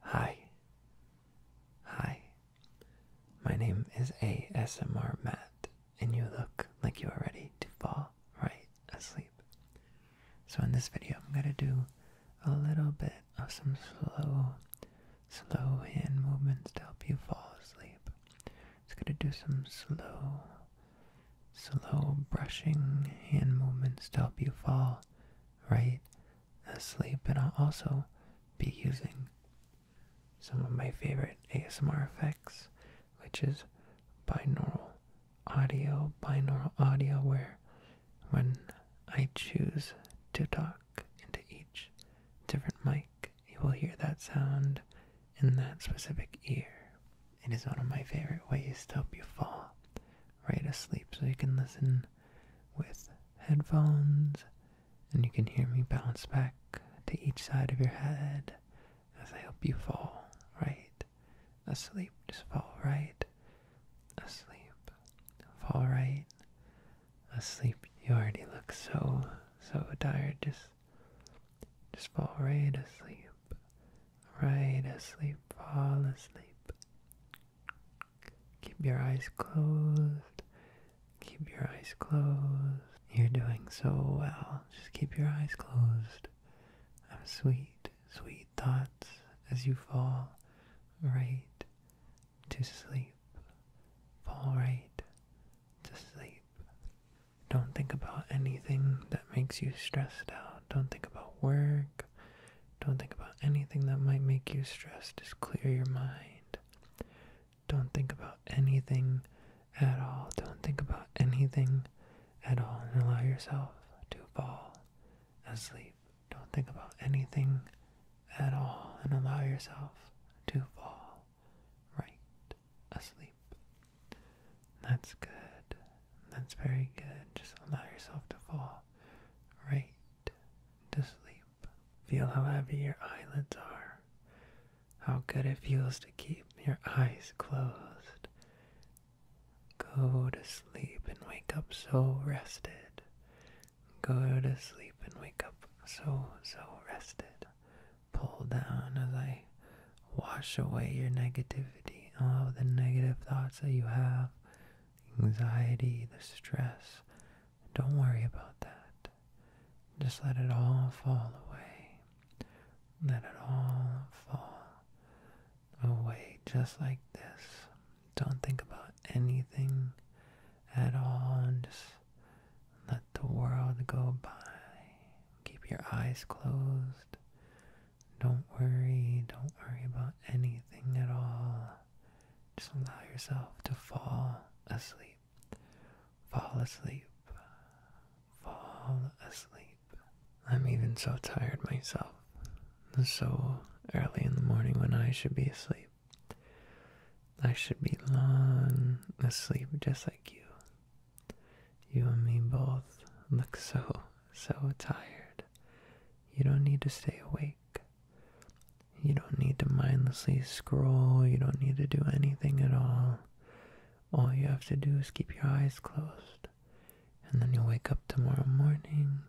Hi. Hi. My name is ASMR Matt, and you look like you are ready to fall right asleep. So in this video, I'm going to do a little bit of some slow, slow hand movements to help you fall asleep. I'm going to do some slow, slow brushing hand movements to help you fall right asleep. And I'll also be using some of my favorite ASMR effects, which is binaural audio, binaural audio, where when I choose to talk into each different mic, you will hear that sound in that specific ear. It is one of my favorite ways to help you fall right asleep so you can listen with headphones, and you can hear me bounce back to each side of your head as I help you fall right asleep. Just fall right asleep. Fall right asleep. You already look so so tired. Just just fall right asleep. Right asleep. Fall asleep. Keep your eyes closed. Keep your eyes closed. You're doing so well. Just keep your eyes closed. Of sweet, sweet thoughts as you fall right to sleep. Fall right to sleep. Don't think about anything that makes you stressed out. Don't think about work. Don't think about anything that might make you stressed. Just clear your mind. Don't think about anything at all. Don't think about anything at all. And allow yourself to fall asleep. Don't think about anything at all. And allow yourself to fall right asleep. That's good. That's very good. Just allow yourself to fall right to sleep. Feel how heavy your eyelids are, how good it feels to keep your eyes closed. Go to sleep and wake up so rested. Go to sleep and wake up so, so rested. Pull down as I wash away your negativity, all the negative thoughts that you have anxiety, the stress. Don't worry about that. Just let it all fall away. Let it all fall away just like this. Don't think about anything at all and just let the world go by. Keep your eyes closed. Don't worry, don't worry about anything at all. Just allow yourself to fall asleep. Fall asleep. Fall asleep. I'm even so tired myself. So early in the morning when I should be asleep. I should be long asleep just like you. You and me both look so, so tired. You don't need to stay awake. You don't need to mindlessly scroll, you don't need to do anything at all. All you have to do is keep your eyes closed, and then you'll wake up tomorrow morning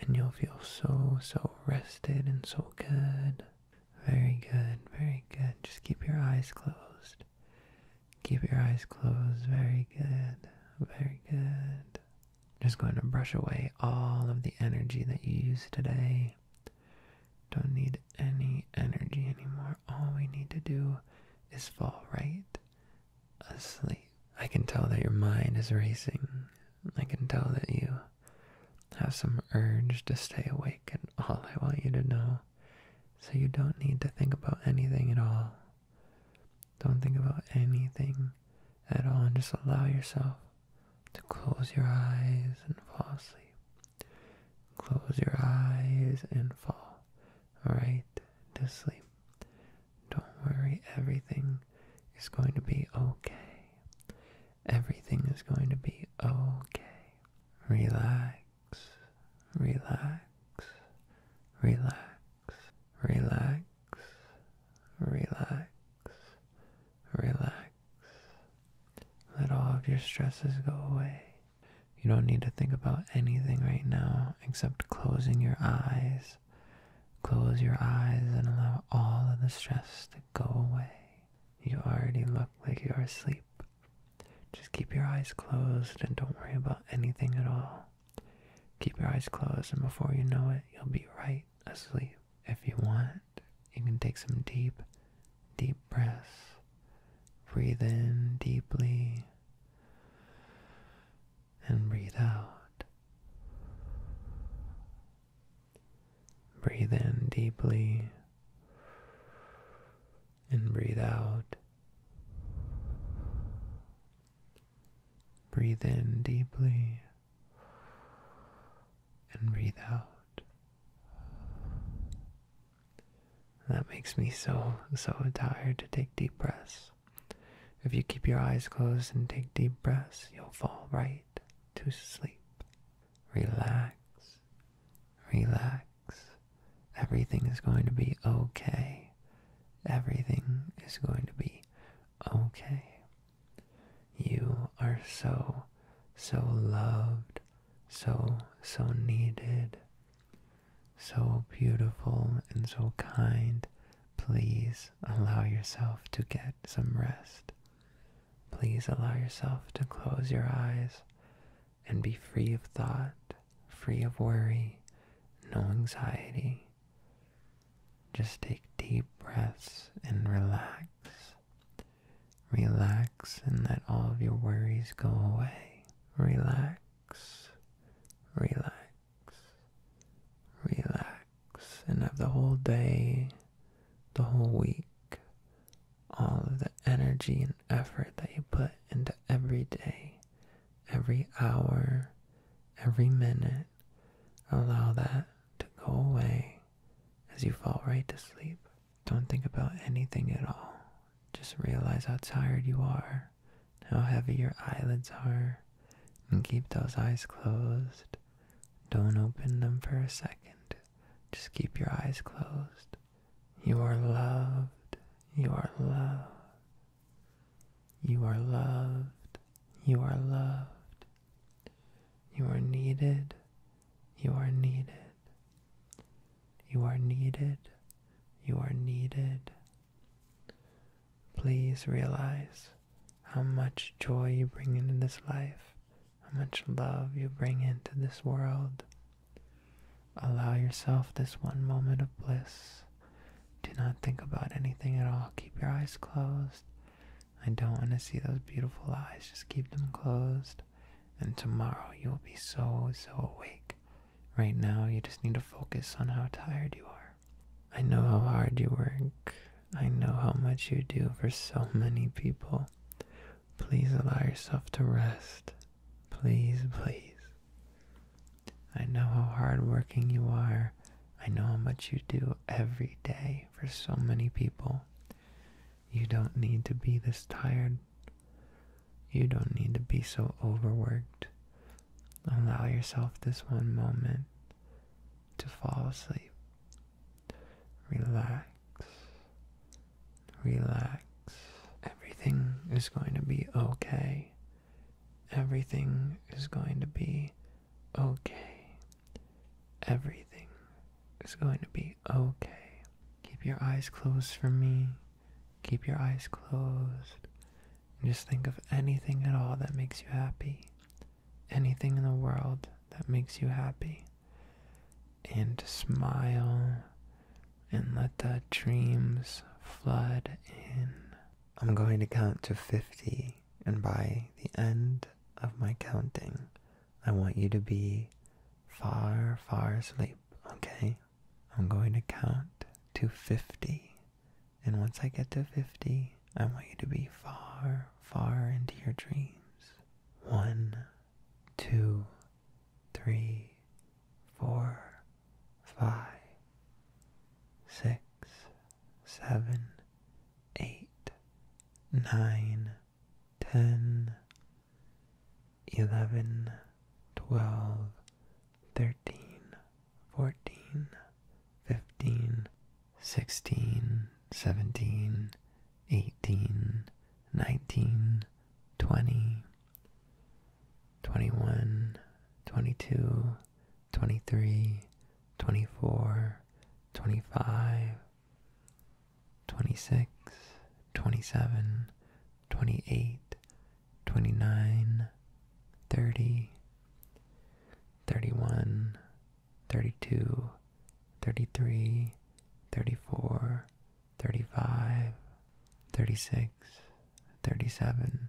and you'll feel so, so rested and so good. Very good, very good. Just keep your eyes closed. Keep your eyes closed. Very good, very good. Just going to brush away all of the energy that you used today. Don't need any energy anymore. All we need to do is fall right asleep. I can tell that your mind is racing. I can tell that you have some urge to stay awake, and all I want you to know so you don't need to think about anything at all. Don't think about anything at all and just allow yourself to close your eyes and fall asleep. Close your eyes and fall right to sleep. Don't worry, everything is going to be okay. Everything is going to be okay. Relax, relax, relax relax, relax, relax. Let all of your stresses go away. You don't need to think about anything right now except closing your eyes. Close your eyes and allow all of the stress to go away. You already look like you're asleep. Just keep your eyes closed and don't worry about anything at all. Keep your eyes closed, and before you know it, you'll be right asleep. If you want, you can take some deep, deep breaths. Breathe in deeply and breathe out. Breathe in deeply and breathe out. Breathe in deeply and breathe out. That makes me so, so tired to take deep breaths. If you keep your eyes closed and take deep breaths, you'll fall right to sleep. Relax, relax. Everything is going to be okay. Everything is going to be okay. You are so, so loved, so, so needed, so beautiful and so kind. Please allow yourself to get some rest. Please allow yourself to close your eyes and be free of thought, free of worry, no anxiety, just take deep breaths and relax. Relax and let all of your worries go away. Relax, relax, relax. And have the whole day, the whole week, all of the energy and effort that you put into every day every hour, every minute. Allow that to go away as you fall right to sleep. Don't think about anything at all. Just realize how tired you are, how heavy your eyelids are, and keep those eyes closed. Don't open them for a second. Just keep your eyes closed. You are loved. You are loved. You are loved. You are loved. You are needed. You are needed. You are needed. You are needed. Please realize how much joy you bring into this life, how much love you bring into this world. Allow yourself this one moment of bliss. Do not think about anything at all. Keep your eyes closed. I don't want to see those beautiful eyes. Just keep them closed. And tomorrow you'll be so, so awake. Right now, you just need to focus on how tired you are. I know how hard you work. I know how much you do for so many people. Please allow yourself to rest. Please, please. I know how hardworking you are. I know how much you do every day for so many people. You don't need to be this tired. You don't need to be so overworked. Allow yourself this one moment to fall asleep. Relax. Relax. Everything is going to be okay. Everything is going to be okay. Everything is going to be okay. Keep your eyes closed for me. Keep your eyes closed. And just think of anything at all that makes you happy. Anything in the world that makes you happy. And smile and let the dreams flood in. I'm going to count to 50, and by the end of my counting, I want you to be far, far asleep, okay? I'm going to count to 50, and once I get to 50, I want you to be far, far into your dreams. One, two, three, four, five, six, seven, eight, nine, ten, eleven, twelve, thirteen, fourteen, fifteen, sixteen, seventeen, eighteen, nineteen, twenty, twenty one, twenty two. 23, 24, 25, 26, 27, 28, 29, 30, 31, 32, 33, 34, 35, 36, 37,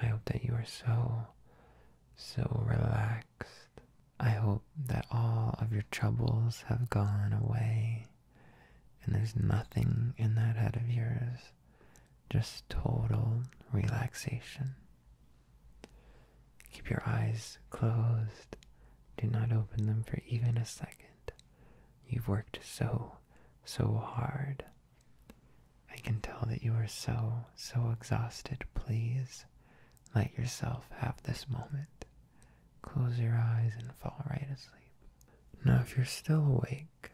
I hope that you are so, so relaxed. I hope that all of your troubles have gone away and there's nothing in that head of yours, just total relaxation. Keep your eyes closed. Do not open them for even a second. You've worked so, so hard I can tell that you are so, so exhausted. Please let yourself have this moment. Close your eyes and fall right asleep. Now, if you're still awake,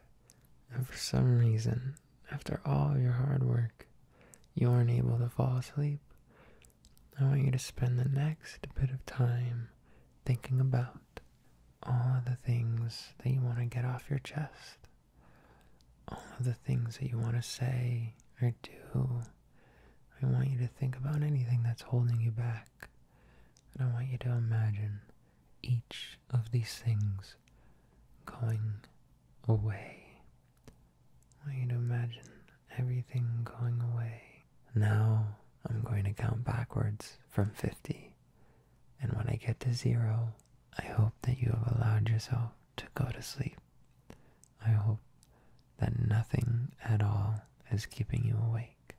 and for some reason, after all your hard work, you aren't able to fall asleep, I want you to spend the next bit of time thinking about all of the things that you want to get off your chest, all of the things that you want to say or do. I want you to think about anything that's holding you back, and I want you to imagine each of these things going away. I want you to imagine everything going away. Now I'm going to count backwards from 50. And when I get to zero, I hope that you have allowed yourself to go to sleep. I hope that nothing at all is keeping you awake.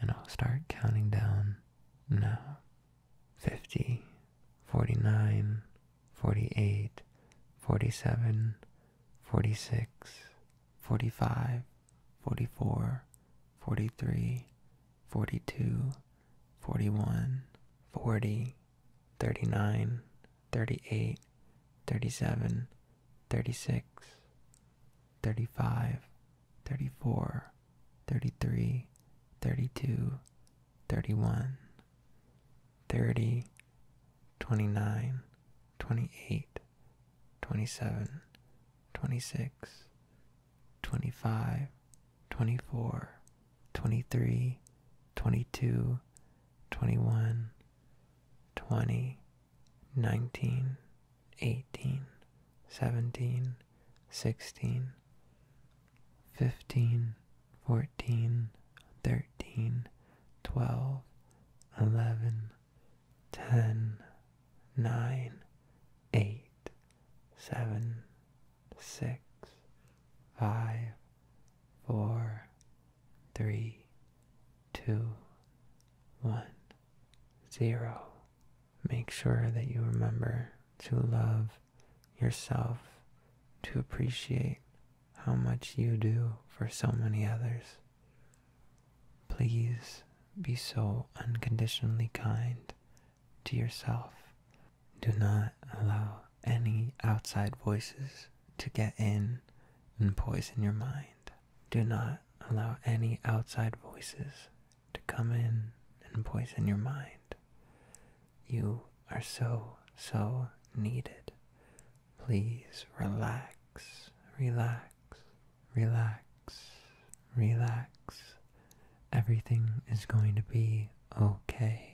And I'll start counting down now 50, 49, 48, 47, 46, 45, 44, 43, 42, 41, 40, 39, 38, 37, 36, 35, 34, 33, 32, 31, 30, 29, 28, 27, 26, Twenty-five, twenty-four, twenty-three, twenty-two, twenty-one, twenty, nineteen, eighteen, seventeen, sixteen, fifteen, fourteen, thirteen, twelve, eleven, ten nine, eight, seven, six, five, four, three, two, one, zero. Make sure that you remember to love yourself, to appreciate how much you do for so many others. Please be so unconditionally kind to yourself. Do not allow any outside voices to get in and poison your mind. Do not allow any outside voices to come in and poison your mind. You are so, so needed. Please relax, relax, relax, relax. Everything is going to be okay.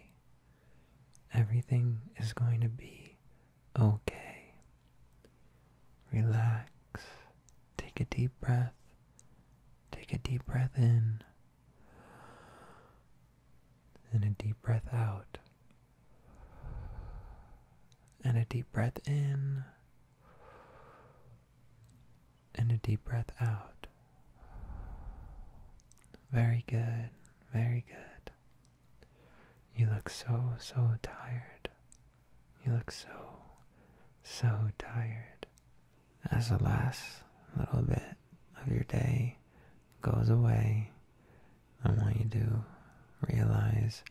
Everything is going to be okay. Relax. Take a deep breath. Take a deep breath in and a deep breath out. And a deep breath in and a deep breath out. Very good, very good. You look so, so tired. You look so, so tired. As the last little bit of your day goes away, I want you to realize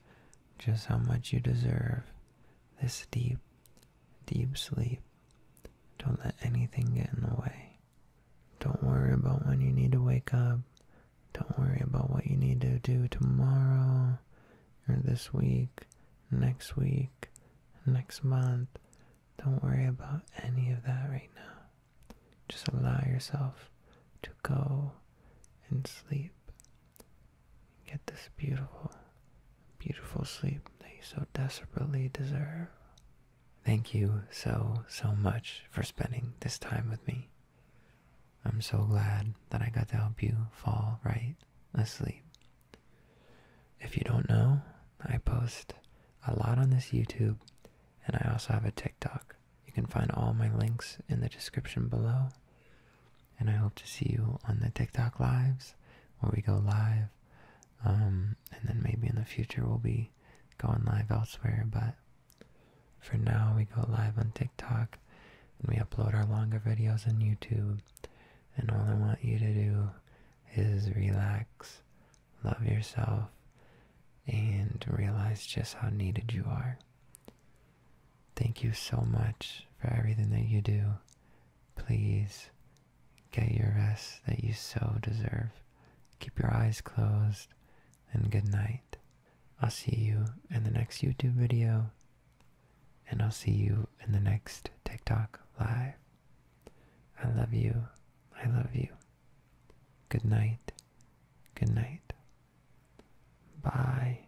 just how much you deserve this deep, deep sleep. Don't let anything get in the way. Don't worry about when you need to wake up. Don't worry about what you need to do tomorrow, or this week, next week, next month. Don't worry about any of that right now. Just allow yourself to go and sleep get this beautiful, beautiful sleep that you so desperately deserve. Thank you so, so much for spending this time with me. I'm so glad that I got to help you fall right asleep. If you don't know, I post a lot on this YouTube and I also have a TikTok. You can find all my links in the description below and I hope to see you on the TikTok lives where we go live. Um, and then maybe in the future we'll be going live elsewhere, but for now we go live on TikTok and we upload our longer videos on YouTube. And all I want you to do is relax, love yourself, and realize just how needed you are. Thank you so much for everything that you do. Please get your rest that you so deserve. Keep your eyes closed and good night. I'll see you in the next YouTube video and I'll see you in the next TikTok live. I love you. I love you. Good night. Good night. Bye.